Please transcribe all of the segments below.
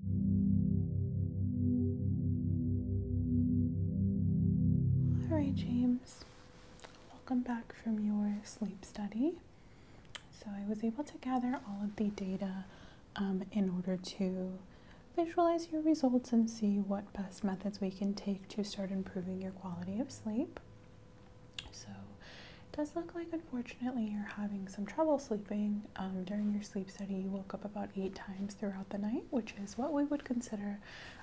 All right, James, welcome back from your sleep study. So, I was able to gather all of the data um, in order to visualize your results and see what best methods we can take to start improving your quality of sleep. So, it does look like, unfortunately, you're having some trouble sleeping, um, during your sleep study, you woke up about eight times throughout the night, which is what we would consider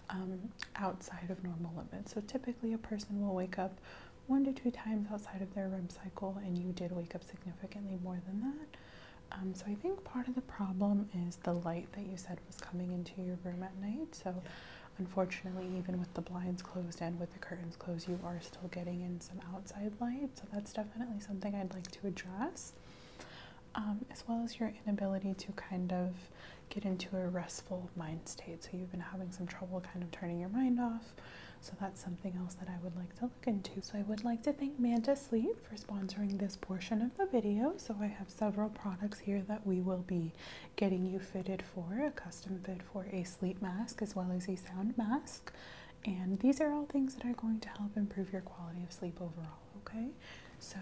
um, outside of normal limits. So typically, a person will wake up one to two times outside of their REM cycle, and you did wake up significantly more than that. Um, so I think part of the problem is the light that you said was coming into your room at night. So unfortunately, even with the blinds closed and with the curtains closed, you are still getting in some outside light. So that's that's definitely something I'd like to address, um, as well as your inability to kind of get into a restful mind state. So, you've been having some trouble kind of turning your mind off. So, that's something else that I would like to look into. So, I would like to thank Manta Sleep for sponsoring this portion of the video. So, I have several products here that we will be getting you fitted for a custom fit for a sleep mask as well as a sound mask. And these are all things that are going to help improve your quality of sleep overall, okay? So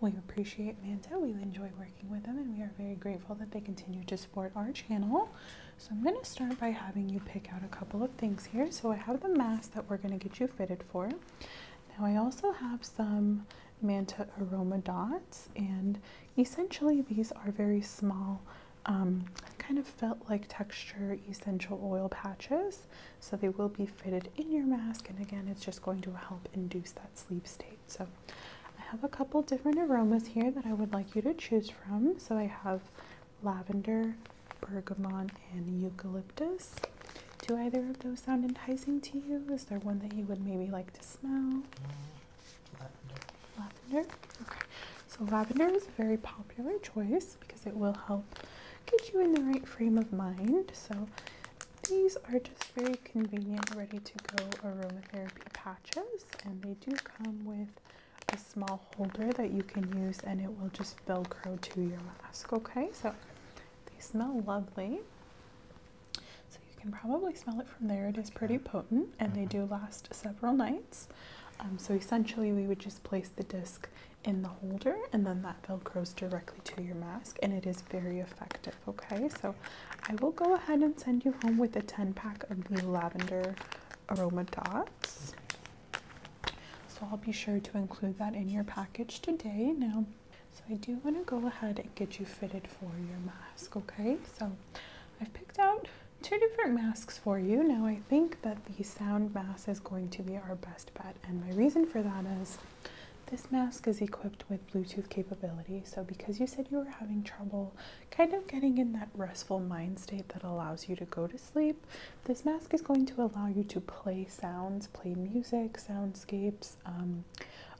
we appreciate Manta. We enjoy working with them, and we are very grateful that they continue to support our channel. So I'm going to start by having you pick out a couple of things here. So I have the mask that we're going to get you fitted for. Now I also have some Manta Aroma Dots, and essentially these are very small um, kind of felt like texture essential oil patches so they will be fitted in your mask, and again, it's just going to help induce that sleep state. So I have a couple different aromas here that I would like you to choose from. So I have lavender, bergamot, and eucalyptus. Do either of those sound enticing to you? Is there one that you would maybe like to smell? Lavender. Lavender? Okay. So lavender is a very popular choice because it will help get you in the right frame of mind. So these are just very convenient, ready to go aromatherapy patches, and they do come with a small holder that you can use, and it will just velcro to your mask. Okay, so they smell lovely. So you can probably smell it from there. It is pretty potent, and they mm-hmm. do last several nights. Um, so essentially, we would just place the disc in the holder and then that velcros directly to your mask and it is very effective okay so i will go ahead and send you home with a 10 pack of the lavender aroma dots so i'll be sure to include that in your package today now so i do want to go ahead and get you fitted for your mask okay so i've picked out two different masks for you now i think that the sound mask is going to be our best. And my reason for that is this mask is equipped with Bluetooth capability. So, because you said you were having trouble kind of getting in that restful mind state that allows you to go to sleep, this mask is going to allow you to play sounds, play music, soundscapes. Um,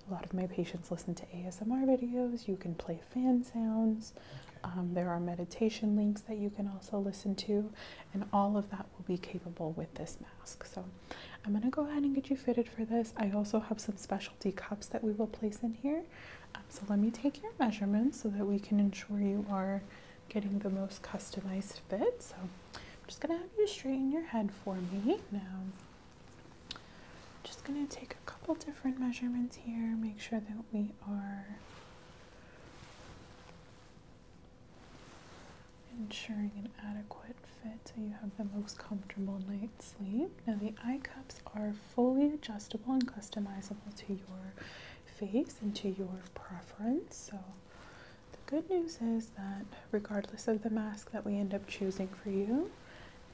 a lot of my patients listen to ASMR videos. You can play fan sounds. Um, there are meditation links that you can also listen to, and all of that will be capable with this mask. So I'm going to go ahead and get you fitted for this. I also have some specialty cups that we will place in here. Um, so let me take your measurements so that we can ensure you are getting the most customized fit. So I'm just going to have you straighten your head for me now. I'm just going to take a couple different measurements here, make sure that we are ensuring an adequate fit so you have the most comfortable night's sleep. Now, the eye cups are fully adjustable and customizable to your face and to your preference. So, the good news is that regardless of the mask that we end up choosing for you,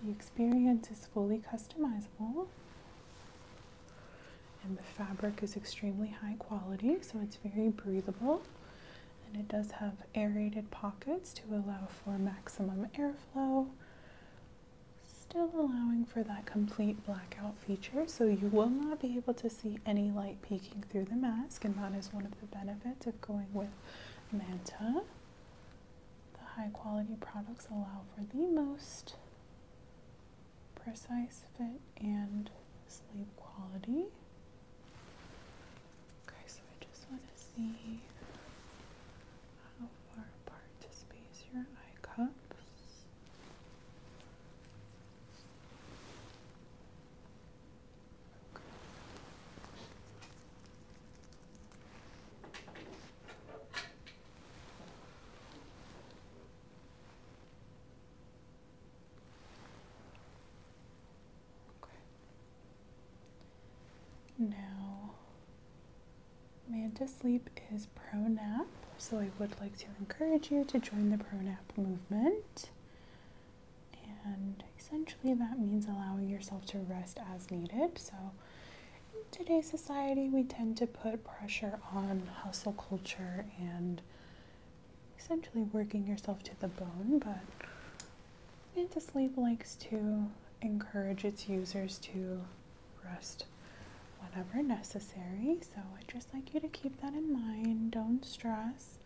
the experience is fully customizable. And the fabric is extremely high quality, so it's very breathable. And it does have aerated pockets to allow for maximum airflow, still allowing for that complete blackout feature. So you will not be able to see any light peeking through the mask, and that is one of the benefits of going with Manta. The high quality products allow for the most precise fit and sleep quality. Okay, so I just want to see how far apart to space your eye cups. Okay. Now, Amanda Sleep is pro nap, so I would like to encourage you to join the pro nap movement. And essentially, that means allowing yourself to rest as needed. So, in today's society, we tend to put pressure on hustle culture and essentially working yourself to the bone, but Antisleep likes to encourage its users to rest whenever necessary. So I'd just like you to keep that in mind. Don't stress.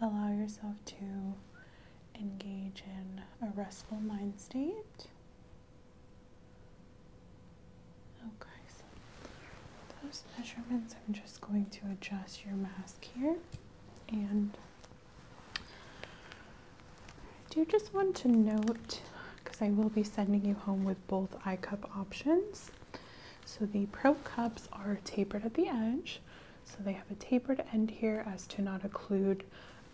Allow yourself to engage in a restful mind state. Okay, oh, so those measurements, I'm just going to adjust your mask here. And I do just want to note, because I will be sending you home with both eye cup options. So the pro cups are tapered at the edge. So they have a tapered end here as to not occlude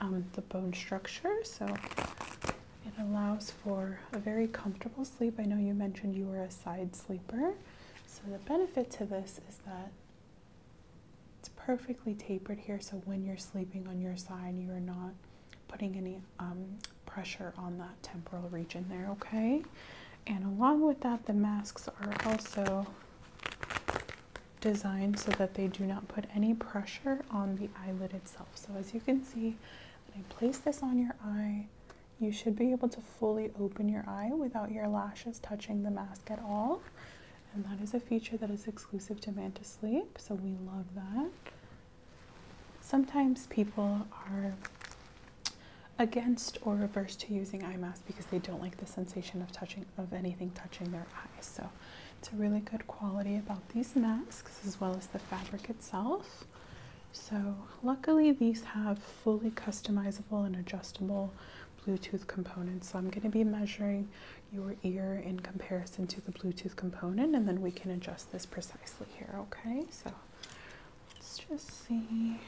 um, the bone structure. So it allows for a very comfortable sleep. I know you mentioned you were a side sleeper. So the benefit to this is that it's perfectly tapered here, so when you're sleeping on your side, you're not putting any um, pressure on that temporal region there, okay? And along with that, the masks are also designed so that they do not put any pressure on the eyelid itself. So as you can see, when I place this on your eye, you should be able to fully open your eye without your lashes touching the mask at all. And that is a feature that is exclusive to Mantis Sleep, so we love that. Sometimes people are against or averse to using eye masks because they don't like the sensation of touching of anything touching their eyes. So it's a really good quality about these masks as well as the fabric itself. So, luckily, these have fully customizable and adjustable Bluetooth components. So, I'm going to be measuring your ear in comparison to the Bluetooth component, and then we can adjust this precisely here, okay? So, let's just see.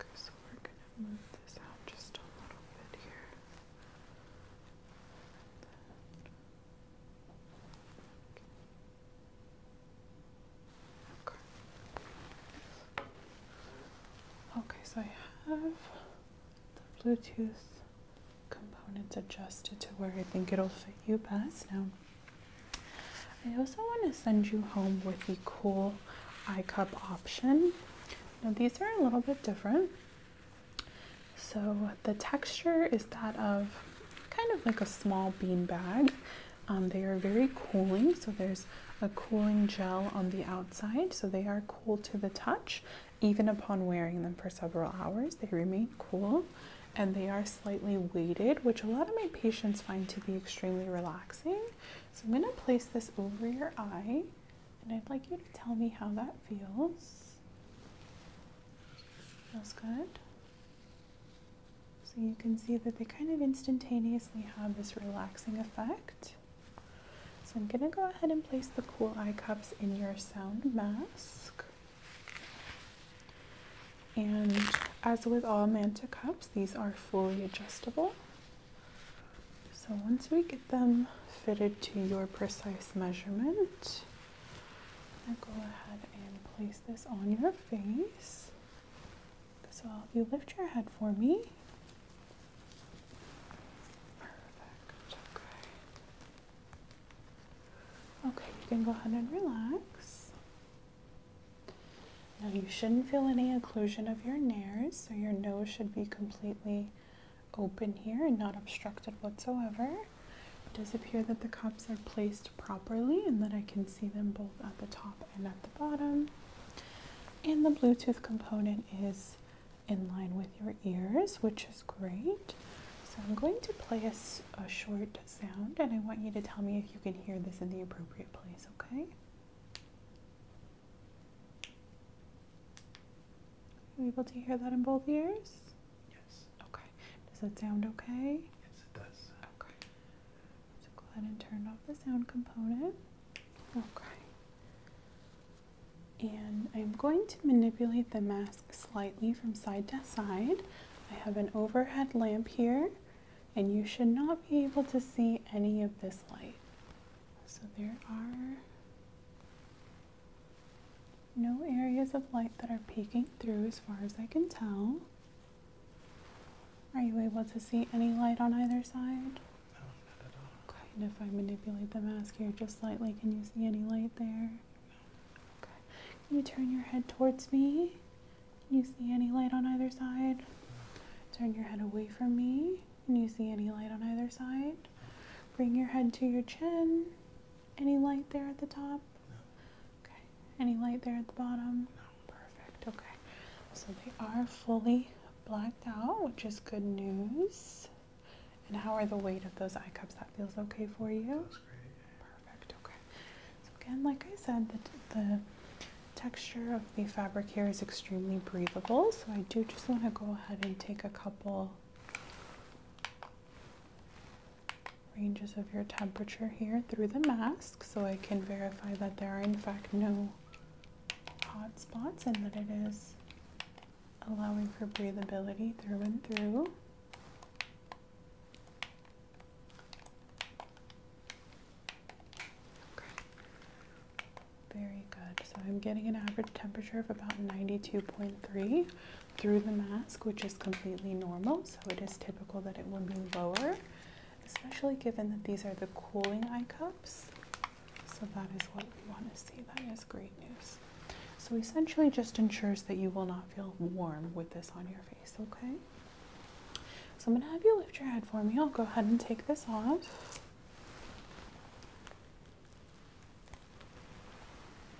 okay so we're going to move this out just a little bit here. Okay. so I have the Bluetooth components adjusted to where I think it'll fit you best. Now, I also want to send you home with the cool iCup option. Now, these are a little bit different. So the texture is that of kind of like a small bean bag. Um, they are very cooling, so there's a cooling gel on the outside, so they are cool to the touch. Even upon wearing them for several hours, they remain cool and they are slightly weighted, which a lot of my patients find to be extremely relaxing. So I'm going to place this over your eye and I'd like you to tell me how that feels. Feels good. So you can see that they kind of instantaneously have this relaxing effect. So I'm going to go ahead and place the cool eye cups in your sound mask. And as with all Manta cups, these are fully adjustable. So once we get them fitted to your precise measurement. Now go ahead and place this on your face. So I'll if you lift your head for me. Perfect. Okay. Okay, you can go ahead and relax. Now you shouldn't feel any occlusion of your nares, so your nose should be completely open here and not obstructed whatsoever. It does appear that the cups are placed properly and that I can see them both at the top and at the bottom. And the Bluetooth component is in line with your ears, which is great. So I'm going to play a, a short sound and I want you to tell me if you can hear this in the appropriate place, okay? Are you able to hear that in both ears? Yes. Okay. Does that sound okay? Yes, it does. Okay. So go ahead and turn off the sound component. Okay. And I'm going to manipulate the mask slightly from side to side. I have an overhead lamp here, and you should not be able to see any of this light. So there are no areas of light that are peeking through as far as I can tell. Are you able to see any light on either side? No, not at all. if I manipulate the mask here just slightly, can you see any light there? No. Okay. Can you turn your head towards me? Can you see any light on either side? Turn your head away from me. Can you see any light on either side? Bring your head to your chin. Any light there at the top? No. Okay. Any light there at the bottom? No. Perfect. Okay. So they are fully blacked out, which is good news. And how are the weight of those eye cups? That feels okay for you? That's great. Perfect. Okay. So again, like I said, the, the texture of the fabric here is extremely breathable. So I do just want to go ahead and take a couple ranges of your temperature here through the mask so I can verify that there are in fact no hot spots and that it is allowing for breathability through and through. Okay. Very good. So I'm getting an average temperature of about 92.3 through the mask, which is completely normal. So it is typical that it will be lower, especially given that these are the cooling eye cups. So that is what we want to see. That is great news. So essentially just ensures that you will not feel warm with this on your face, okay? So I'm going to have you lift your head for me. I'll go ahead and take this off.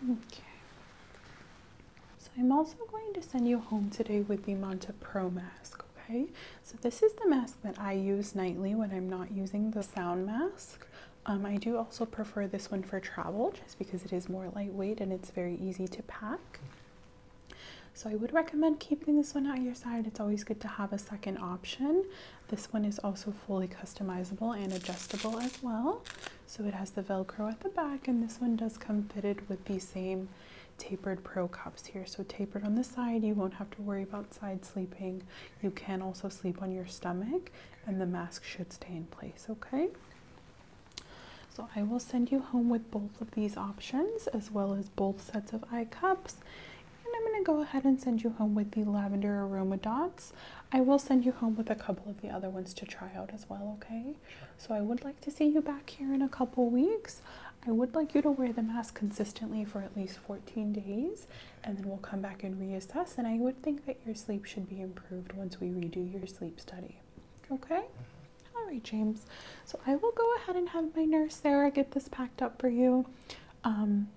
Okay. So I'm also going to send you home today with the Monta Pro mask, okay? So this is the mask that I use nightly when I'm not using the sound mask. Um, I do also prefer this one for travel just because it is more lightweight and it's very easy to pack. So I would recommend keeping this one at your side. It's always good to have a second option. This one is also fully customizable and adjustable as well. So it has the Velcro at the back and this one does come fitted with the same tapered pro cups here. So tapered on the side, you won't have to worry about side sleeping. You can also sleep on your stomach and the mask should stay in place, okay? So I will send you home with both of these options as well as both sets of eye cups. And I'm gonna go ahead and send you home with the lavender aroma dots. I will send you home with a couple of the other ones to try out as well, okay? So I would like to see you back here in a couple weeks. I would like you to wear the mask consistently for at least 14 days, and then we'll come back and reassess. And I would think that your sleep should be improved once we redo your sleep study. Okay? All right, James. So I will go ahead and have my nurse Sarah get this packed up for you. Um,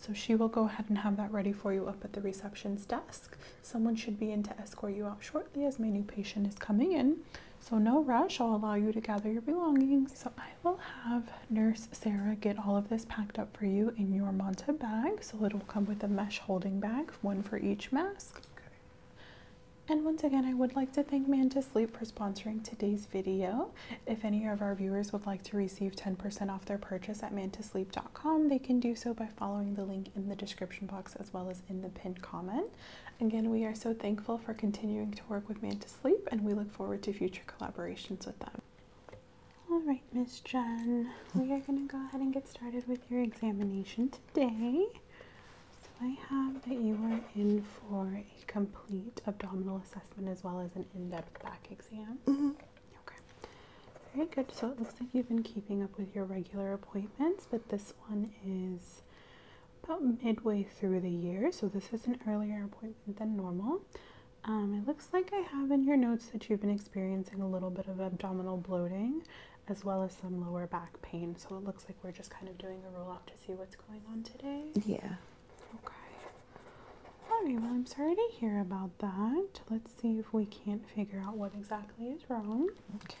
so she will go ahead and have that ready for you up at the reception's desk. Someone should be in to escort you out shortly as my new patient is coming in. So no rush, I'll allow you to gather your belongings. So I will have nurse Sarah get all of this packed up for you in your Monta bag. So it'll come with a mesh holding bag, one for each mask. And once again, I would like to thank Man for sponsoring today's video. If any of our viewers would like to receive 10% off their purchase at mantosleep.com, they can do so by following the link in the description box as well as in the pinned comment. Again, we are so thankful for continuing to work with Manta Sleep and we look forward to future collaborations with them. All right, Miss Jen, we are going to go ahead and get started with your examination today. So I have that you are in for a complete abdominal assessment as well as an in-depth back exam. Okay, very good. So it looks like you've been keeping up with your regular appointments, but this one is about midway through the year, so this is an earlier appointment than normal. Um, it looks like I have in your notes that you've been experiencing a little bit of abdominal bloating as well as some lower back pain. So it looks like we're just kind of doing a roll off to see what's going on today. Yeah. Okay. All right, well, I'm sorry to hear about that. Let's see if we can't figure out what exactly is wrong. Okay.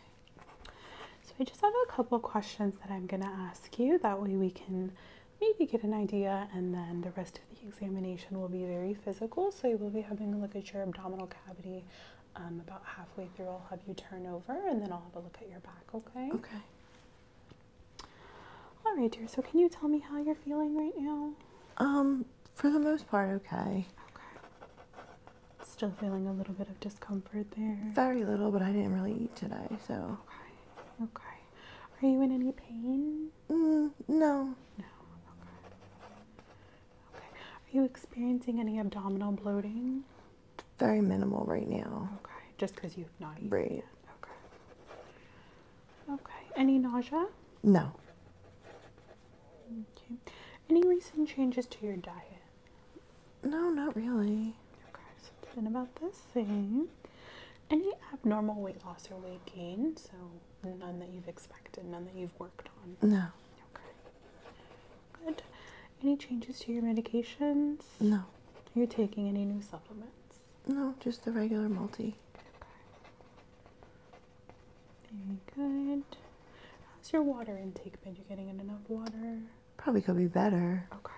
So I just have a couple questions that I'm going to ask you. That way we can maybe get an idea, and then the rest of the examination will be very physical. So you will be having a look at your abdominal cavity. Um, about halfway through, I'll have you turn over, and then I'll have a look at your back, okay? Okay. All right, dear. So, can you tell me how you're feeling right now? Um, for the most part, okay. Okay. Still feeling a little bit of discomfort there. Very little, but I didn't really eat today, so. Okay. Okay. Are you in any pain? Mm, no. No. Okay. Okay. Are you experiencing any abdominal bloating? Very minimal right now. Okay. Just because you've not eaten. Right. Okay. Okay. Any nausea? No. Okay. Any recent changes to your diet? No, not really. Okay, so it's been about the same. Any abnormal weight loss or weight gain? So none that you've expected, none that you've worked on? No. Okay. Good. Any changes to your medications? No. Are you taking any new supplements? No, just the regular multi. Okay. Very good. How's your water intake been? You getting in enough water? Probably could be better. Okay.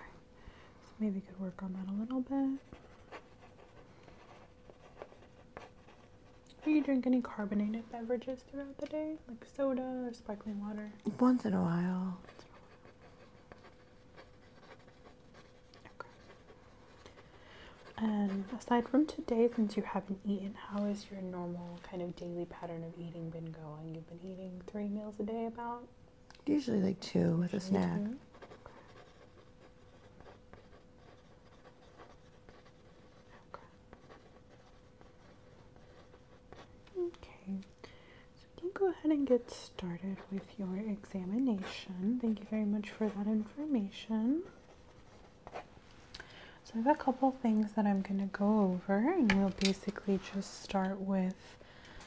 So maybe we could work on that a little bit. Do you drink any carbonated beverages throughout the day? Like soda or sparkling water? Once in a while. And aside from today, since you haven't eaten, how is your normal kind of daily pattern of eating been going? You've been eating three meals a day, about? Usually like two with a snack. Two. Okay, so we can go ahead and get started with your examination. Thank you very much for that information. So I have a couple things that I'm going to go over and we'll basically just start with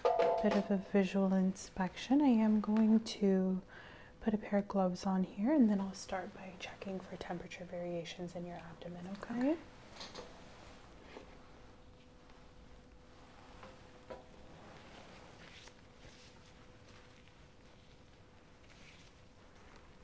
a bit of a visual inspection. I am going to put a pair of gloves on here and then I'll start by checking for temperature variations in your abdomen, okay? okay.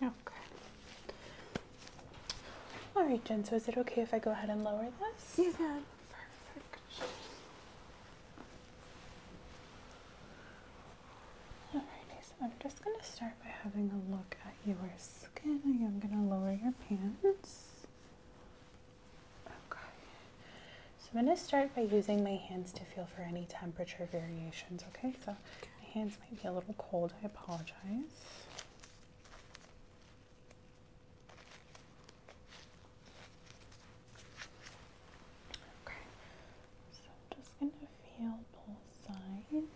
Okay. All right, Jen, so is it okay if I go ahead and lower this? You can. Perfect. Alrighty, so I'm just going to start by having a look at your skin. I am going to lower your pants. Okay. So I'm going to start by using my hands to feel for any temperature variations. Okay. So my hands might be a little cold. I apologize. Okay. So I'm just going to feel both sides.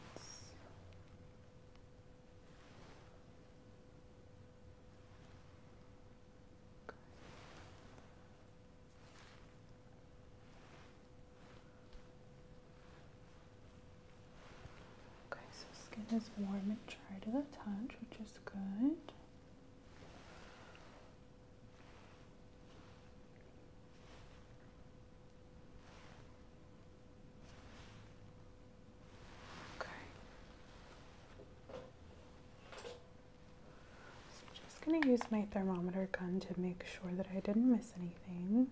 Okay, so skin is warm and dry to the touch, which is good. Okay. So I'm just going to use my thermometer gun to make sure that I didn't miss anything.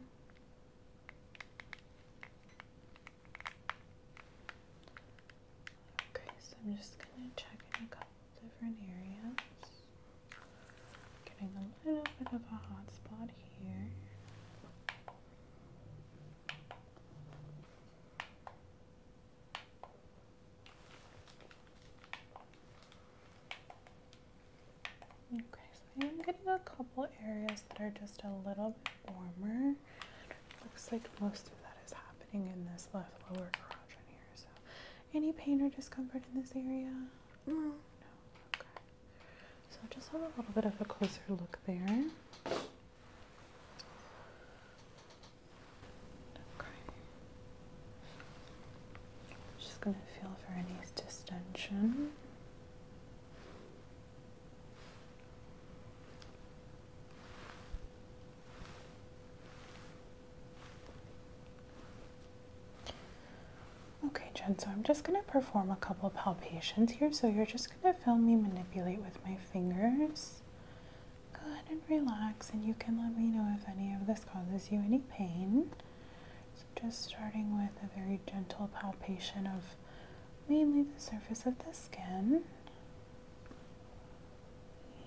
Okay, so I'm just going to check in a couple different areas. Getting a little bit of a hot spot here. Okay, so I'm getting a couple areas that are just a little bit warmer. Looks like most of that is happening in this left lower garage here. So, any pain or discomfort in this area? No. Okay. So just have a little bit of a closer look there. Okay. Just going to feel for any distension. Okay, Jen, so I'm just going to perform a couple palpations here. So you're just going to feel me manipulate with my fingers. Go ahead and relax, and you can let me know if any of this causes you any pain. So, just starting with a very gentle palpation of mainly the surface of the skin.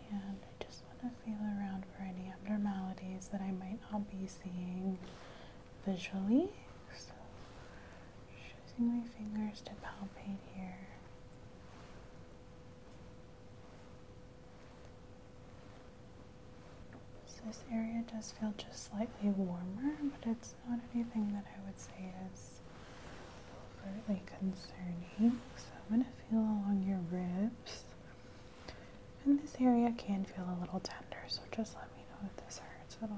And I just want to feel around for any abnormalities that I might not be seeing visually. So, just using my fingers to palpate here this area does feel just slightly warmer, but it's not anything that I would say is overtly concerning. So I'm going to feel along your ribs. And this area can feel a little tender, so just let me know if this hurts at all.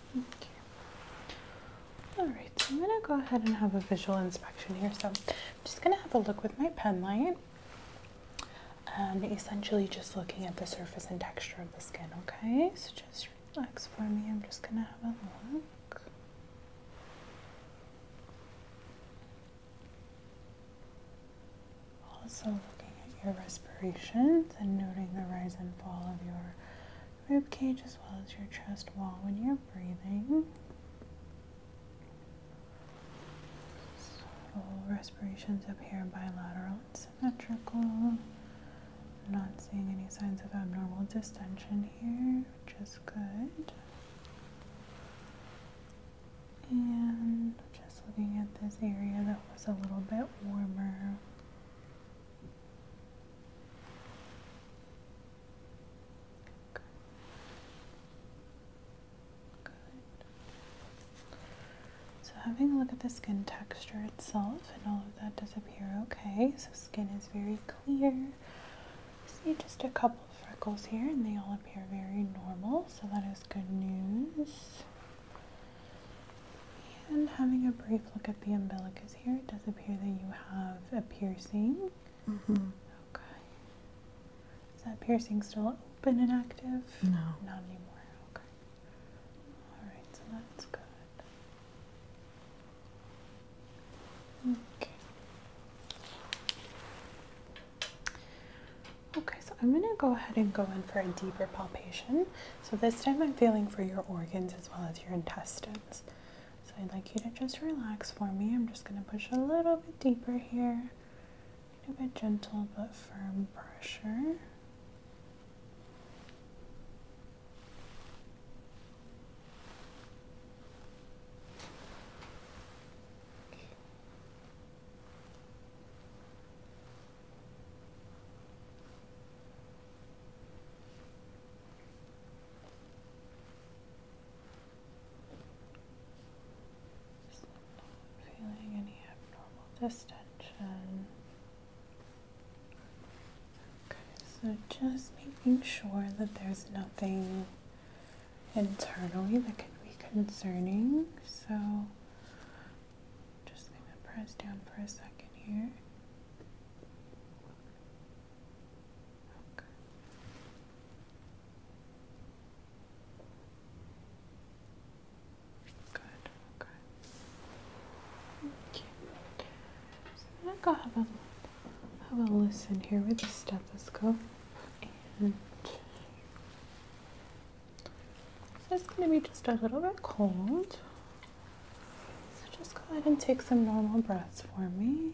Okay. All right, so I'm gonna go ahead and have a visual inspection here. So I'm just gonna have a look with my pen light and essentially just looking at the surface and texture of the skin, okay? So just relax for me. I'm just gonna have a look. Also looking at your respirations and noting the rise and fall of your rib cage as well as your chest wall when you're breathing. So respirations appear bilateral and symmetrical. Not seeing any signs of abnormal distension here, which is good. And just looking at this area that was a little bit warmer. So having a look at the skin texture itself and all of that does appear okay. So skin is very clear. See just a couple of freckles here and they all appear very normal. So that is good news. And having a brief look at the umbilicus here. It does appear that you have a piercing. Mm-hmm. Okay. Is that piercing still open and active? No. Not anymore. Okay. All right, so that's good. Okay. Okay, so I'm going to go ahead and go in for a deeper palpation. So this time I'm feeling for your organs as well as your intestines. So I'd like you to just relax for me. I'm just going to push a little bit deeper here. A little bit gentle but firm pressure not feeling any abnormal distension. Okay, so just making sure that there's nothing internally that could be concerning. So just gonna press down for a second here. Okay. Good, okay. Thank So I'm gonna go have a have a listen here with the stethoscope and so it's gonna be just a little bit cold. So just go ahead and take some normal breaths for me.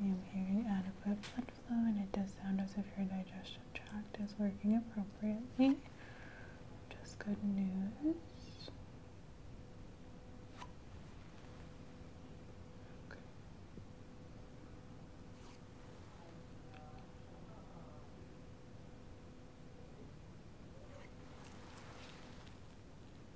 I am hearing adequate blood flow, and it does sound as if your digestion tract is working appropriately. Just good news.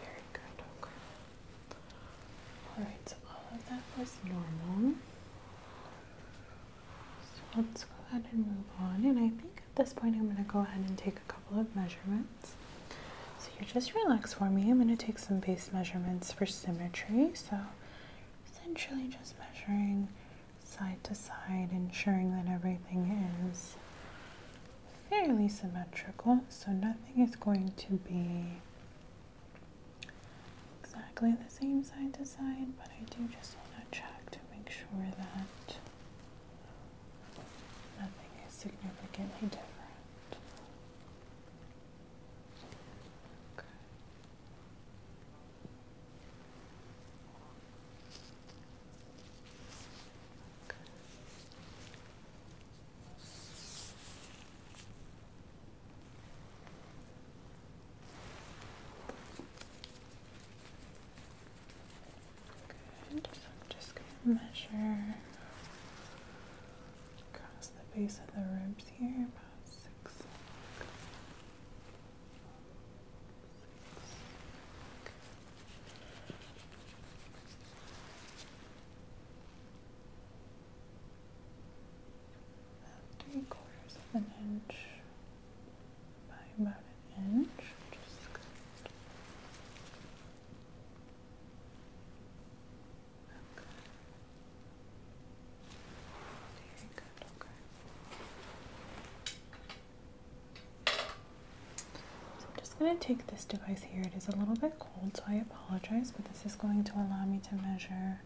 Very good, okay. Alright, so all uh, of that was normal. So let's go ahead and move on. And I think at this point I'm going to go ahead and take a couple of measurements. So you just relax for me. I'm going to take some base measurements for symmetry. So essentially just measuring side to side, ensuring that everything is fairly symmetrical, so nothing is going to be exactly the same side to side, but I do just want to check to make sure that nothing is significantly different. Okay. Okay. I'm just going to measure across the base of the ribs here, about six. six three quarters of an inch by about an inch. Just cut okay. Very good, okay. So i just going to take this device here. It is a little bit cold, so I apologize, but this is going to allow me to measure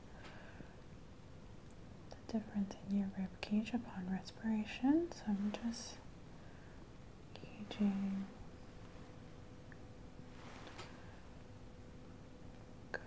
the difference in your rib cage upon respiration. So I'm just gauging. Good,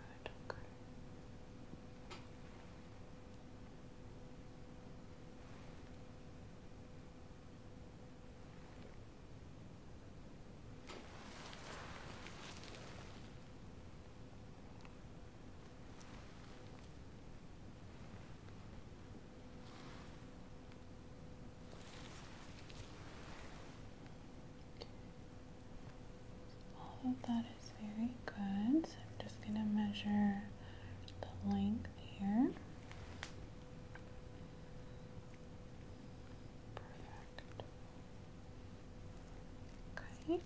all oh, of that is very good. So I'm just going to measure the length here. Perfect. Okay.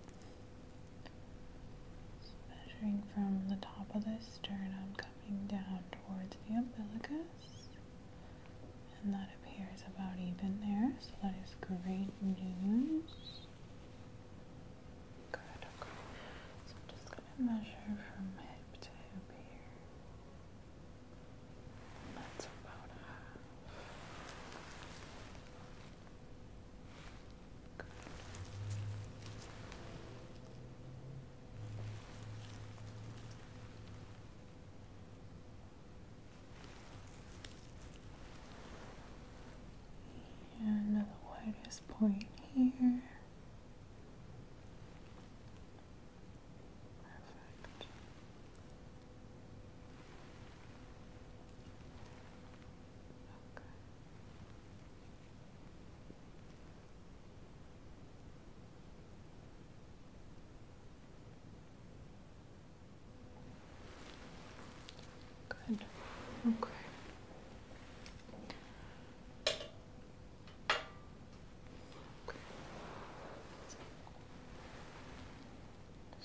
So measuring from the top of the sternum coming down towards the umbilicus. And that appears about even there, so that is great news. Good, okay. So I'm just going to measure from hip to hip here. That's about half. And the widest point here. Perfect. Okay. Good. Okay.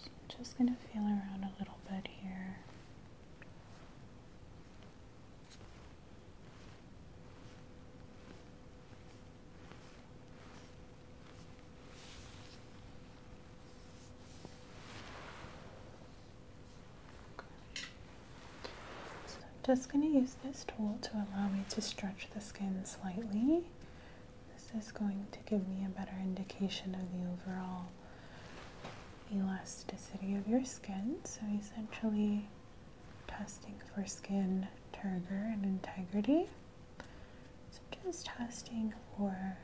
I'm just going to feel around a little bit here. So I'm just going to use this tool to allow me to stretch the skin slightly. This is going to give me a better indication of the overall elasticity of your skin. So essentially testing for skin turgor and integrity. So just testing for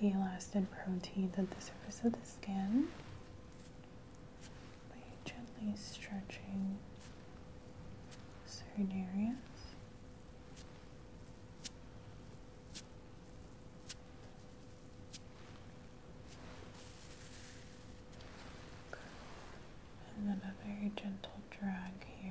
the elastic proteins at the surface of the skin by gently stretching certain And then a very gentle drag here.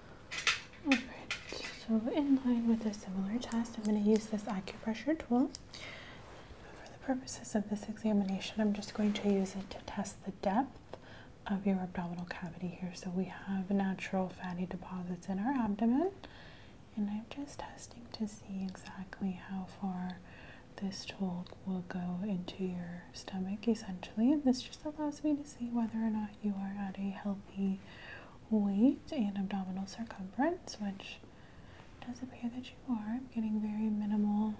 Alright, so in line with a similar test, I'm going to use this acupressure tool. For the purposes of this examination, I'm just going to use it to test the depth of your abdominal cavity here. So we have natural fatty deposits in our abdomen, and I'm just testing to see exactly how far this tool will go into your stomach essentially. And this just allows me to see whether or not you are at a healthy weight and abdominal circumference, which does appear that you are. I'm getting very minimal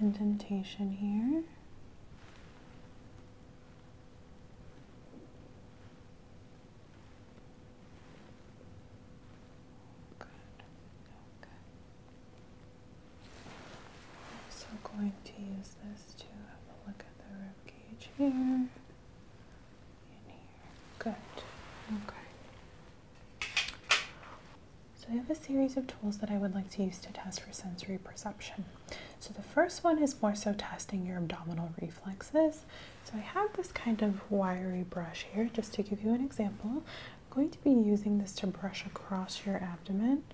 indentation here. I'm also going to use this to have a look at the rib cage here. Good. Okay. So I have a series of tools that I would like to use to test for sensory perception. So the first one is more so testing your abdominal reflexes. So I have this kind of wiry brush here, just to give you an example. I'm going to be using this to brush across your abdomen,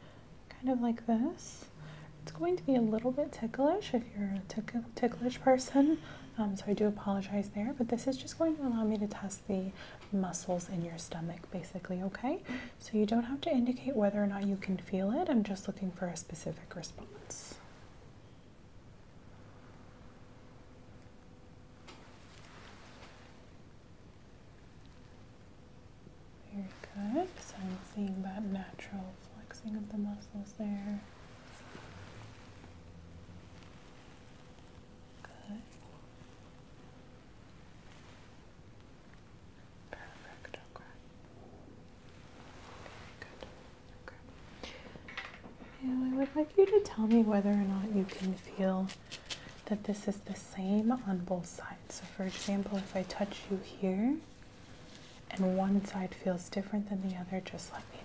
kind of like this. It's going to be a little bit ticklish if you're a ticklish person, um, so I do apologize there, but this is just going to allow me to test the muscles in your stomach basically, okay? So you don't have to indicate whether or not you can feel it, I'm just looking for a specific response. Very good. So I'm seeing that natural flexing of the muscles there. Good. Perfect. Okay. good. Okay. I would like you to tell me whether or not you can feel that this is the same on both sides. So, for example, if I touch you here, and one side feels different than the other, just let me know.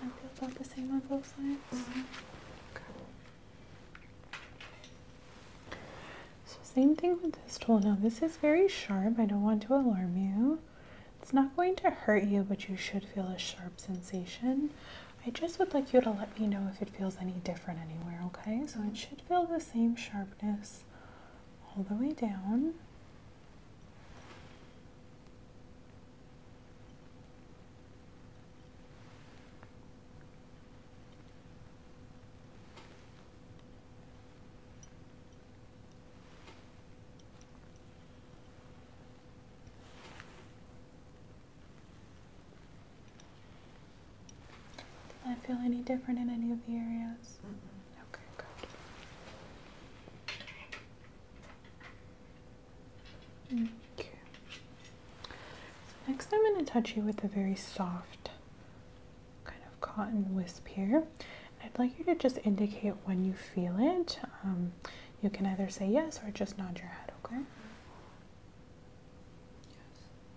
I feel about the same on both sides. okay. So same thing with this tool. Now this is very sharp. I don't want to alarm you. It's not going to hurt you, but you should feel a sharp sensation. I just would like you to let me know if it feels any different anywhere, okay? So it should should feel the same sharpness all the way down. Did I feel any different in any of the areas? Okay, good. Okay. So next I'm going to touch you with a very soft kind of cotton wisp here. I'd like you to just indicate when you feel it. Um, you can either say yes or just nod your head, okay? Yes.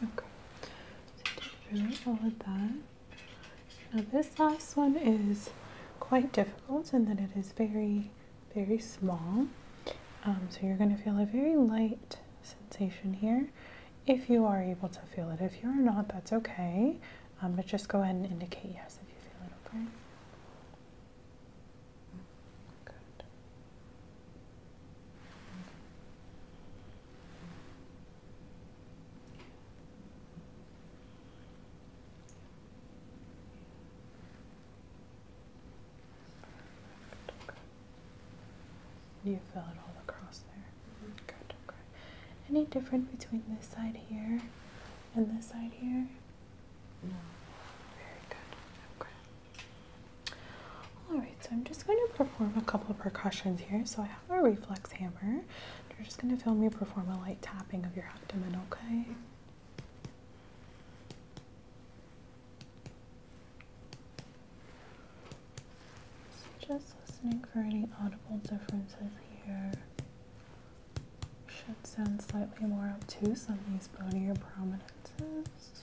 Good. Okay. So you did all of that. Now this last one is quite difficult and that it is very, very small. Um, so you're going to feel a very light sensation here if you are able to feel it. If you're not, that's okay. Um, but just go ahead and indicate yes if you feel it, okay? Good. Perfect, You feel it all across there. Mm Good, Any different between this side here and this side here? No. Very good. Okay. All right, so I'm just going to perform a couple of percussions here. So I have a reflex hammer. You're just going to feel me perform a light tapping of your abdomen, okay? just listening for any audible differences here. Should sound slightly more obtuse on these bonier prominences.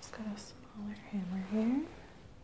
Just got a smaller hammer here.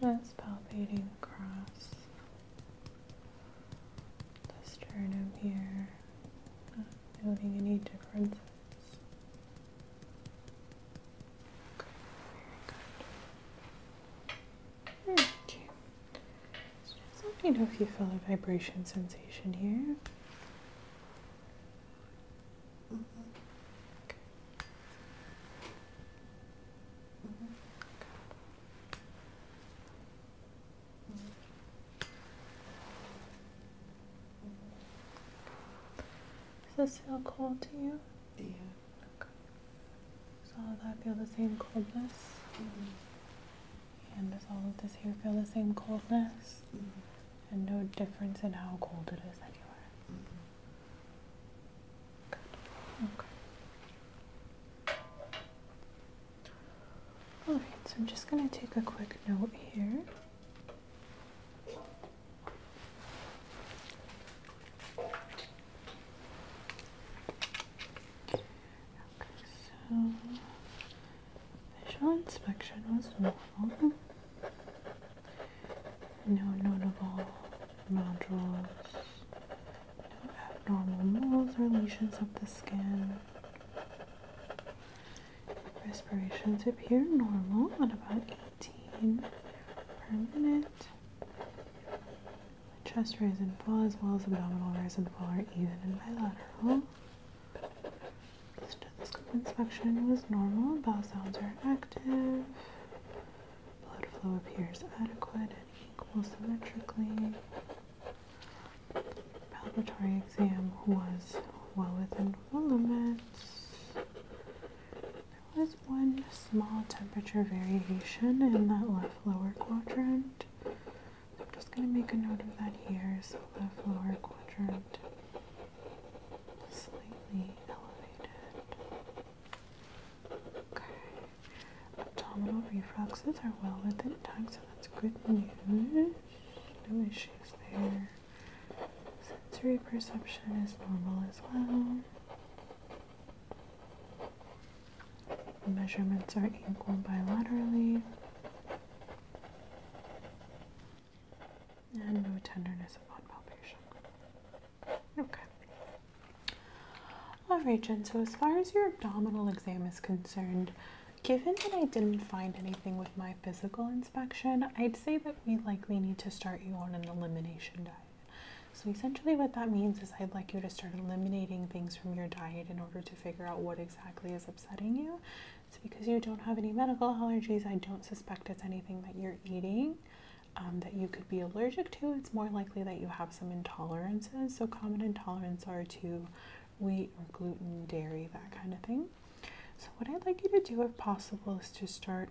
Just palpating across the sternum here, not noting any difference. Okay, very just let me know if you feel a vibration sensation here. Does this feel cold to you? Yeah. Does all of that feel the same coldness? Mm-hmm. And does all of this here feel the same coldness? Mm-hmm. And no difference in how cold it is anywhere? Mm -hmm. Okay. Alright, so I'm just going to take a quick note here visual inspection was normal. No notable nodules, no abnormal moles or lesions of the skin. Respirations appear normal at about 18 per minute. Chest rise and fall, as well as abdominal rise and fall, are even and bilateral. Stethoscope inspection was normal. Bowel sounds are active. Blood flow appears adequate and equal symmetrically. Palpatory exam was well within there was one small temperature variation in that left lower quadrant. I'm just going to make a note of that here. So the lower quadrant slightly elevated. Okay. Abdominal reflexes are well within time, so that's good news. No issues there. Sensory perception is normal as well. measurements are equal bilaterally. And no tenderness upon palpation. Okay. Alright, Jen, so as far as your abdominal exam is concerned, given that I didn't find anything with my physical I'd say that we likely need to start you on an elimination diet. So essentially what that means is I'd like you to start eliminating things from your diet in order to figure out what exactly is upsetting you. It's because you don't have any medical allergies. I don't suspect it's anything that you're eating um, that you could be allergic to. It's more likely that you have some intolerances. So common intolerances are to wheat or gluten, dairy, that kind of thing. So, what I'd like you to do, if possible, is to start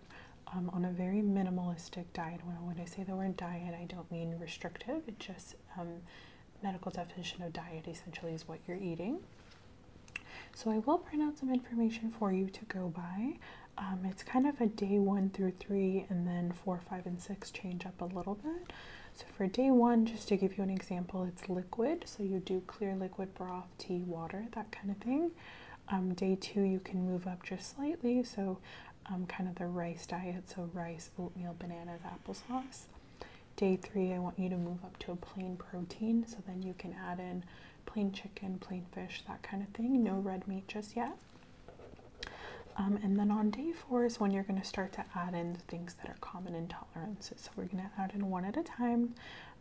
um, on a very minimalistic diet. When, I say the word diet, I don't mean restrictive, it just um, medical definition of diet essentially is what you're eating. So, I will print out some information for you to go by. Um, it's kind of a day one through three, and then four, five, and six change up a little bit. So, for day one, just to give you an example, it's liquid. So, you do clear liquid broth tea, water, that kind of thing. Um, day two, you can move up just slightly, so um, kind of the rice diet, so rice, oatmeal, bananas, applesauce. Day three, I want you to move up to a plain protein, so then you can add in plain chicken, plain fish, that kind of thing. No red meat just yet. Um, and then on day four is when you're going to start to add in the things that are common intolerances. So we're going to add in one at a time.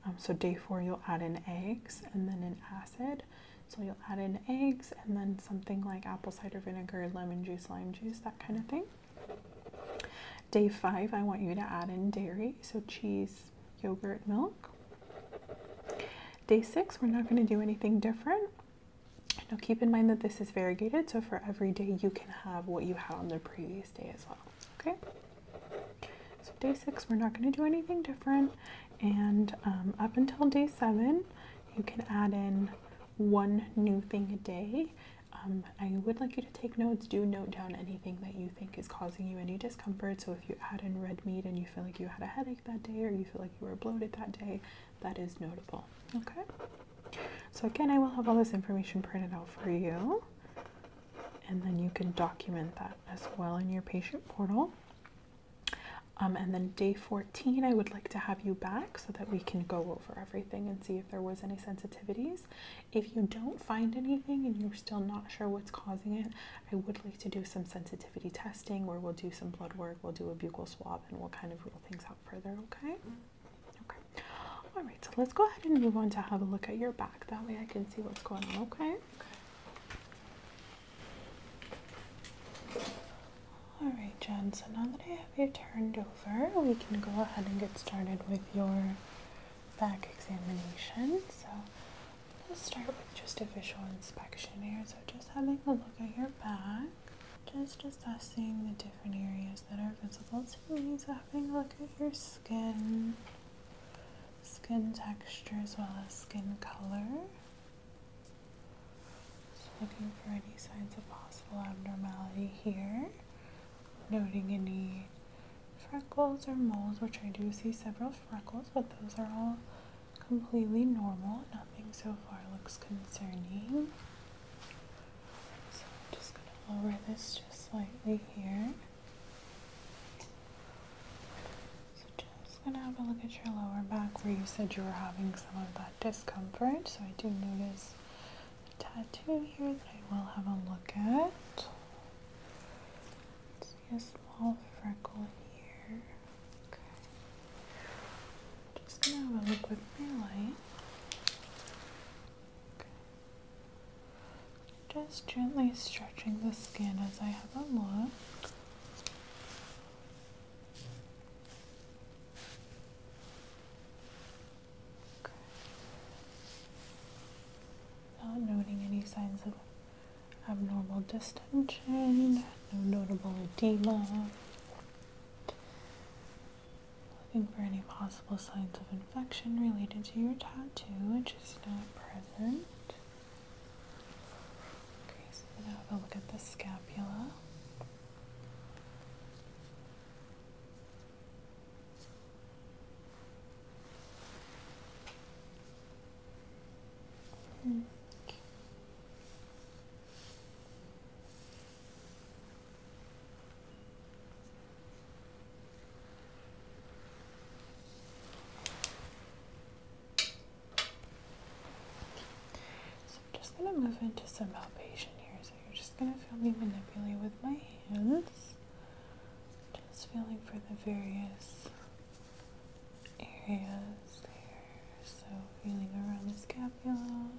Um, so day four, you'll add in eggs and then an acid. So you'll add in eggs and then something like apple cider vinegar, lemon juice, lime juice, that kind of thing. Day five, I want you to add in dairy, so cheese, yogurt, milk. Day six, we're not going to do anything different. Now keep in mind that this is variegated, so for every day you can have what you had on the previous day as well, okay? So, day six, we're not going to do anything different. And um, up until day seven, you can add in one new thing a day. Um, I would like you to take notes. Do note down anything that you think is causing you any discomfort. So, if you add in red meat and you feel like you had a headache that day or you feel like you were bloated that day, that is notable. Okay? So, again, I will have all this information printed out for you and then you can document that as well in your patient portal. Um, and then day 14, I would like to have you back so that we can go over everything and see if there was any sensitivities. If you don't find anything and you're still not sure what's causing it, I would like to do some sensitivity testing where we'll do some blood work, we'll do a buccal swab, and we'll kind of rule things out further, okay? Okay. All right, so let's go ahead and move on to have a look at your back. That way I can see what's going on, okay? All right, Jen, so now that I have you turned over, we can go ahead and get started with your back examination. So let's start with just a visual inspection here. So just having a look at your back, just assessing the different areas that are visible to me. So having a look at your skin, skin texture as well as skin color. looking for any signs of possible abnormality here. Noting any freckles or moles, which I do see several freckles, but those are all completely normal. Nothing so far looks concerning. So I'm just going to lower this just slightly here. So just gonna have a look at your lower back where you said you were having some of that discomfort. So I do notice a tattoo here that I will have a look at. see a small freckle here. Okay. Just gonna have a look with my light. Just gently stretching the skin as I have a look. Not noting any signs of abnormal distension, no notable edema. Looking for any possible signs of infection related to your tattoo, which is not present. Okay, so now have a look at the scapula. Mm. So I'm just going to move into some palpation here. So you're just going to feel me manipulate with my hands. Just feeling for the various areas there. So feeling around the scapula.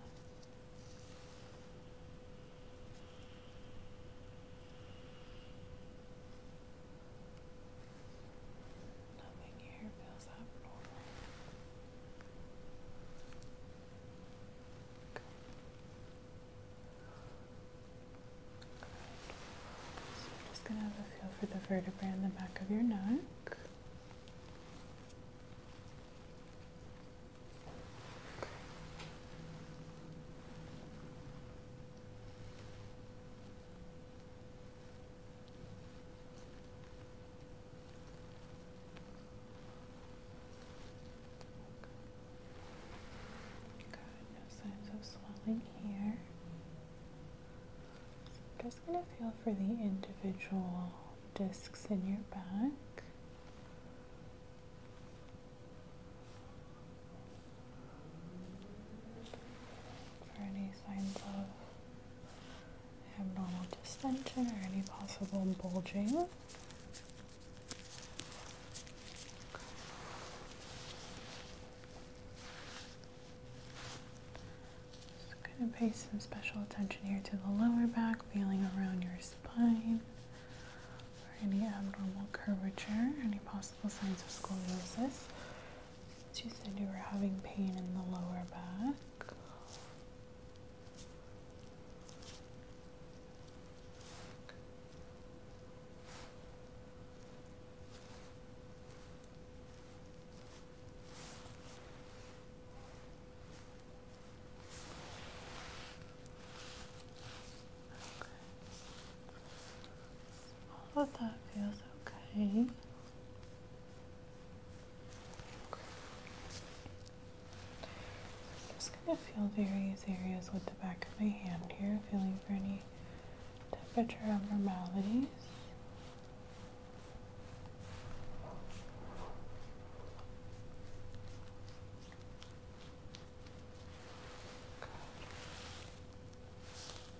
So I'm just going to have a feel for the vertebrae in the back of your neck no signs of swelling here. just going to feel for the individual discs in your back for any signs of abnormal distension or any possible bulging. Just going to pay some special attention here to the lower back, feeling around your spine for any abnormal curvature, any possible signs of scoliosis. So you said you were having pain in the lower back. All of that feels okay. i just going to feel various areas with the back of my hand here, feeling for any temperature abnormalities.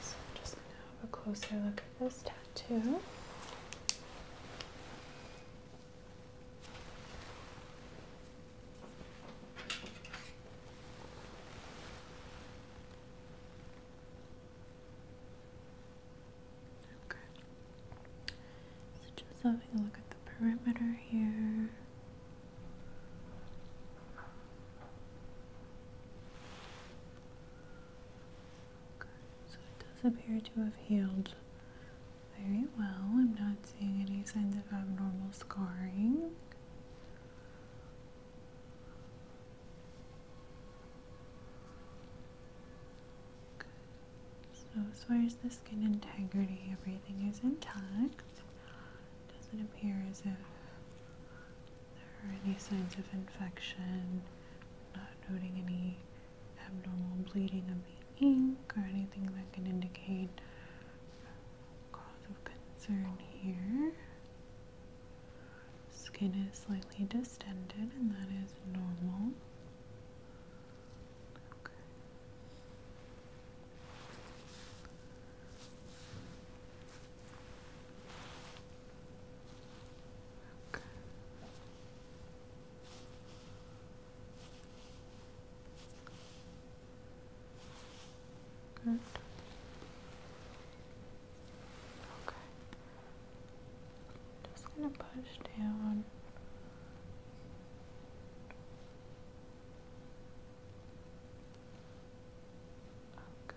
So I'm just going to have a closer look at this tattoo. Okay. So just having a look at the perimeter here. Okay, so it does appear to have healed very well. I'm not seeing any signs of abnormal scarring. Good. So, as far as the skin integrity, everything is intact. Doesn't appear as if there are any signs of infection. Not noting any abnormal bleeding of the ink or anything that can indicate cause of concern here. Skin is slightly distended, and that is normal. Okay. Okay. Good. Okay. Just going to push down. Okay.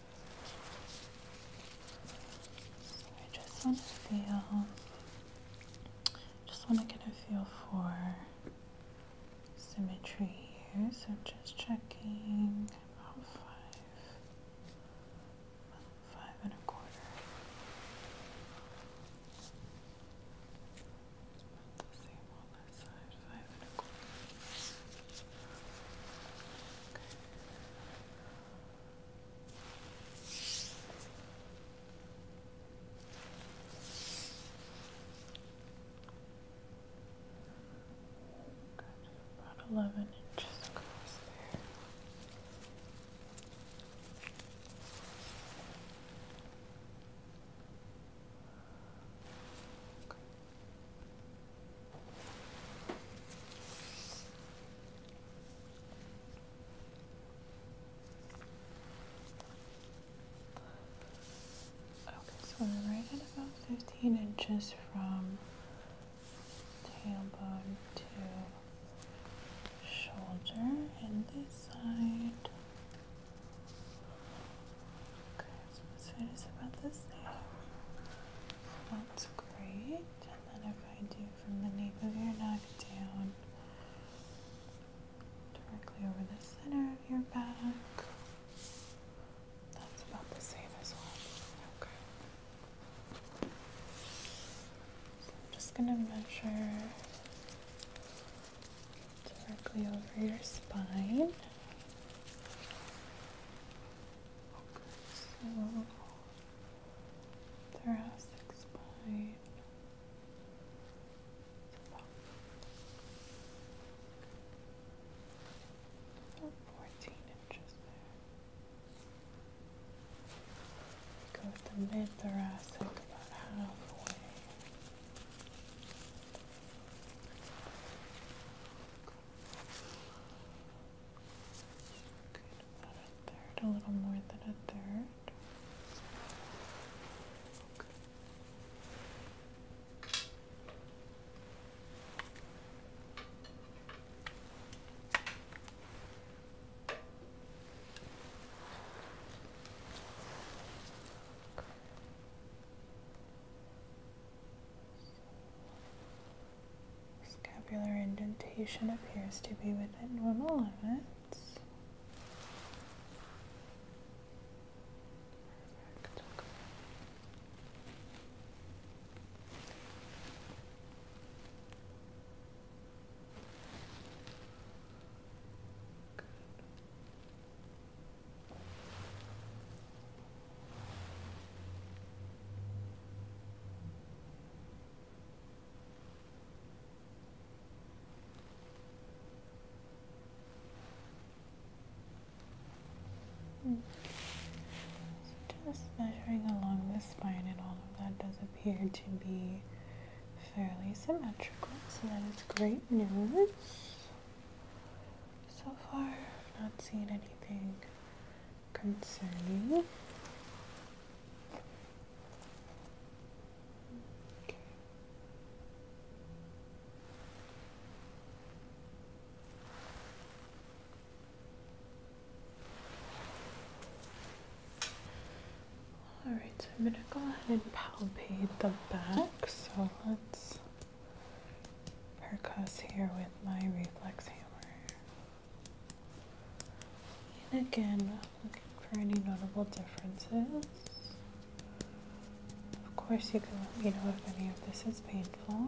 I just want to feel, just want to get a feel for symmetry here. So I'm just checking about five, five and a quarter. let the same on this side five and About eleven inches across there. Okay, so we're right at about 15 inches from tailbone to shoulder and this side. So this is about the same. That's great. And then if I do from the nape of your neck down, directly over the center of your back, that's about the same as well. Okay. So I'm just going to measure directly over your spine thoracic spine. So fourteen inches there. Go with the mid thoracic about halfway. Good, about a little more than a third. Scapular indentation appears to be within normal limits just measuring along the spine and all of that does appear to be fairly symmetrical, so that is great news. So far, I've not seen anything concerning. Okay. All right, I'm going to go ahead and palpate the back. So let's percuss here with my reflex hammer. And again, looking for any notable differences. Of course, you can let me know if any of this is painful.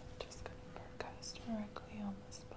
I'm just going to percuss directly on the spine.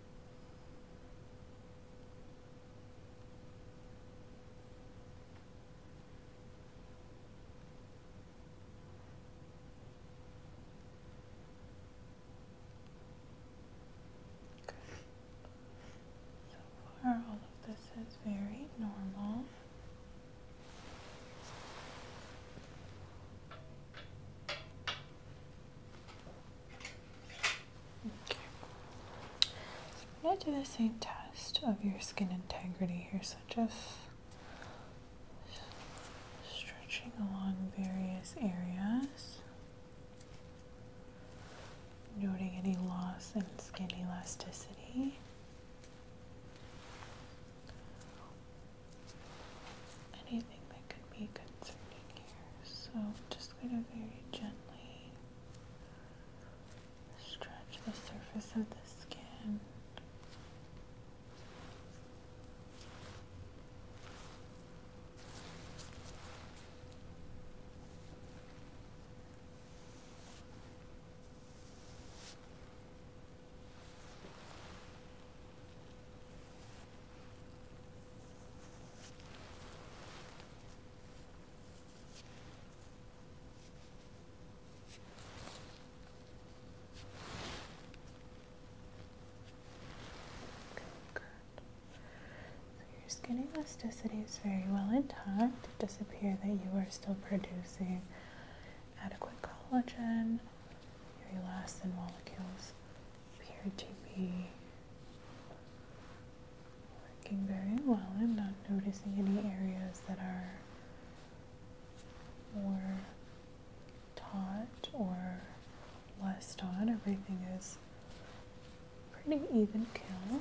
So far, all of this is very normal. Okay. So I'm going to do the same test of your skin integrity here. So just stretching along various areas, noting any loss in skin elasticity. So I'm just going to very gently stretch the surface of the skin your skin elasticity is very well intact. It does appear that you are still producing adequate collagen. Your elastin molecules appeared to be working very well. I'm not noticing any areas that are more taut or less taut. Everything is pretty even kill.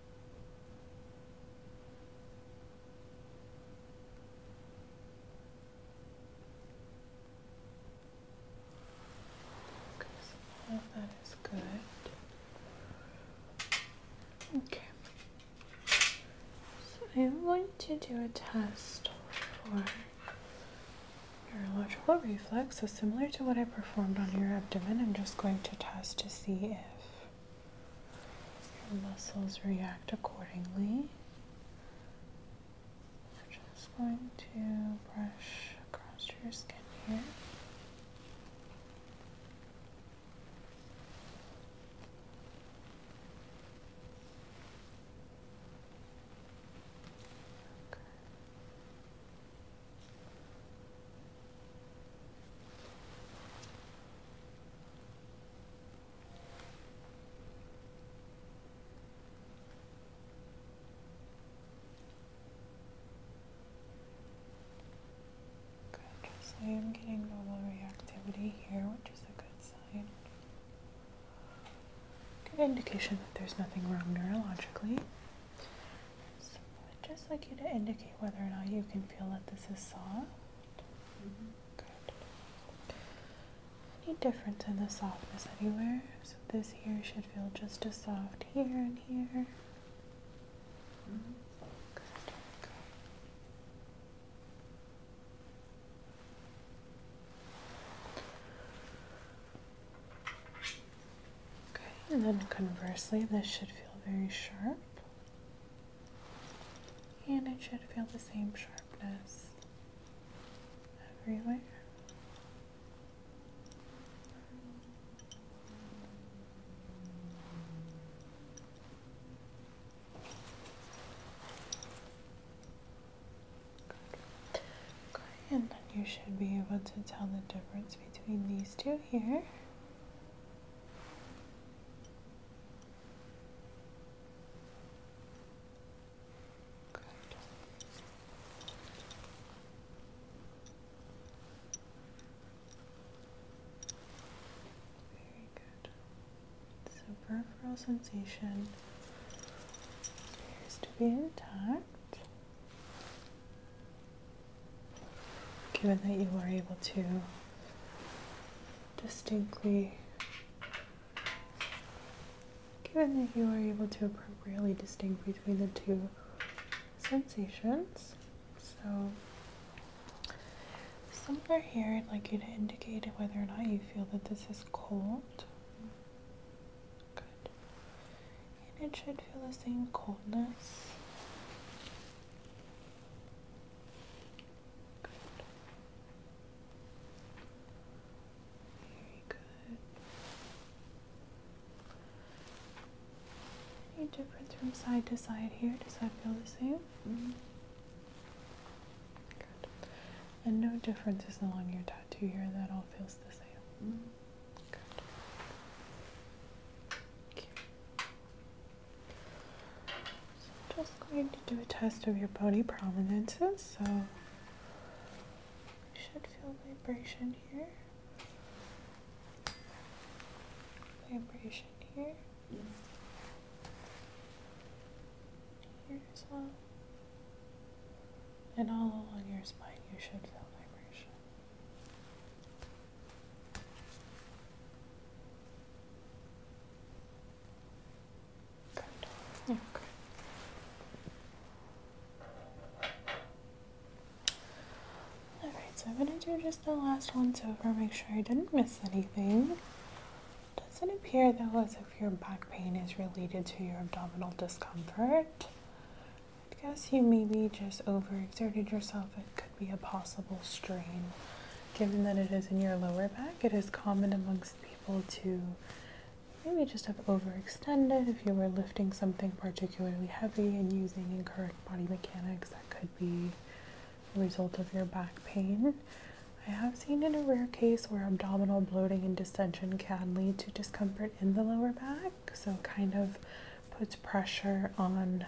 Okay, that is good. Okay. So I'm going to do a test for neurological reflex. So similar to what I performed on your abdomen, I'm just going to test to see if your muscles react accordingly. I'm just going to brush across your skin here. Okay. Good, so I am getting normal reactivity here, which is a good sign. Good indication that there's nothing wrong neurologically. I'd just like you to indicate whether or not you can feel that this is soft. Any difference in the softness anywhere? So this here should feel just as soft here and here. Okay, and then conversely, this should feel very sharp. And it should feel the same sharpness everywhere. and then you should be able to tell the difference between these two here. Good. Very good. So peripheral sensation appears to be intact. Given that you were able to distinctly, given that you are able to appropriately distinguish between the two sensations. So, somewhere here, I'd like you to indicate whether or not you feel that this is cold. Good. And it should feel the same coldness. Any difference from side to side here? Does that feel the same? Mm-hmm. And no differences along your tattoo here. That all feels the same. Mm-hmm. I'm just going to do a test of your body prominences. So you should feel vibration here. Vibration here. Here as well. And all along your spine you should feel vibration. Okay. Alright, so I'm going to do just the last once over, make sure I didn't miss anything. It doesn't appear though as if your back pain is related to your abdominal discomfort. I guess you maybe just overexerted yourself. It could be a possible strain Given that it is in your lower back, it is common amongst people to maybe just have overextended. If you were lifting something particularly heavy and using incorrect body mechanics, that could be a result of your back pain. I have seen in a rare case where abdominal bloating and distension can lead to discomfort in the lower back, so kind of puts pressure on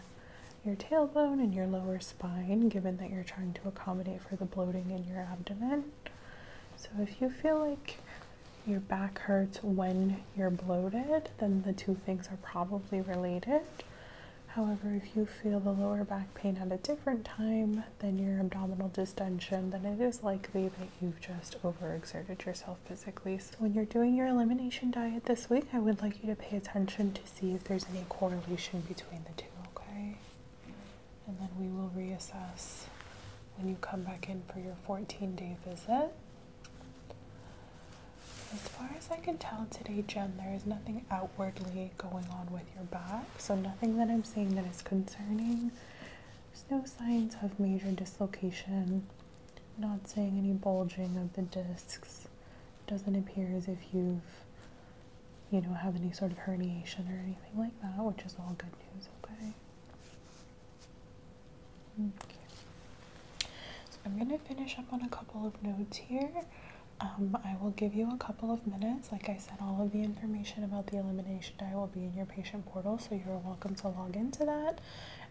your tailbone and your lower spine, given that you're trying to accommodate for the bloating in your abdomen. So, if you feel like your back hurts when you're bloated, then the two things are probably related. However, if you feel the lower back pain at a different time than your abdominal distension, then it is likely that you've just overexerted yourself physically. So, when you're doing your elimination diet this week, I would like you to pay attention to to see if there's any correlation between the two, okay? And then we will reassess when you come back in for your 14 day visit. As far as I can tell today, Jen, there is nothing outwardly going on with your back, so nothing that I'm seeing that is concerning. There's no signs of major dislocation, not seeing any bulging of the discs. Doesn't appear as if you've you know, have any sort of herniation or anything like that, which is all good news, okay? So I'm going to finish up on a couple of notes here. Um, I will give you a couple of minutes. Like I said, all of the information about the elimination diet will be in your patient portal, so you're welcome to log into that.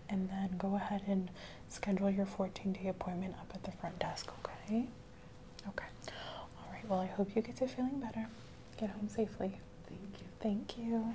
And then go ahead and schedule your 14 day appointment up at the front desk, okay? Okay. All right. Well, I hope you get to feeling better. Get home safely. Thank you. Thank you.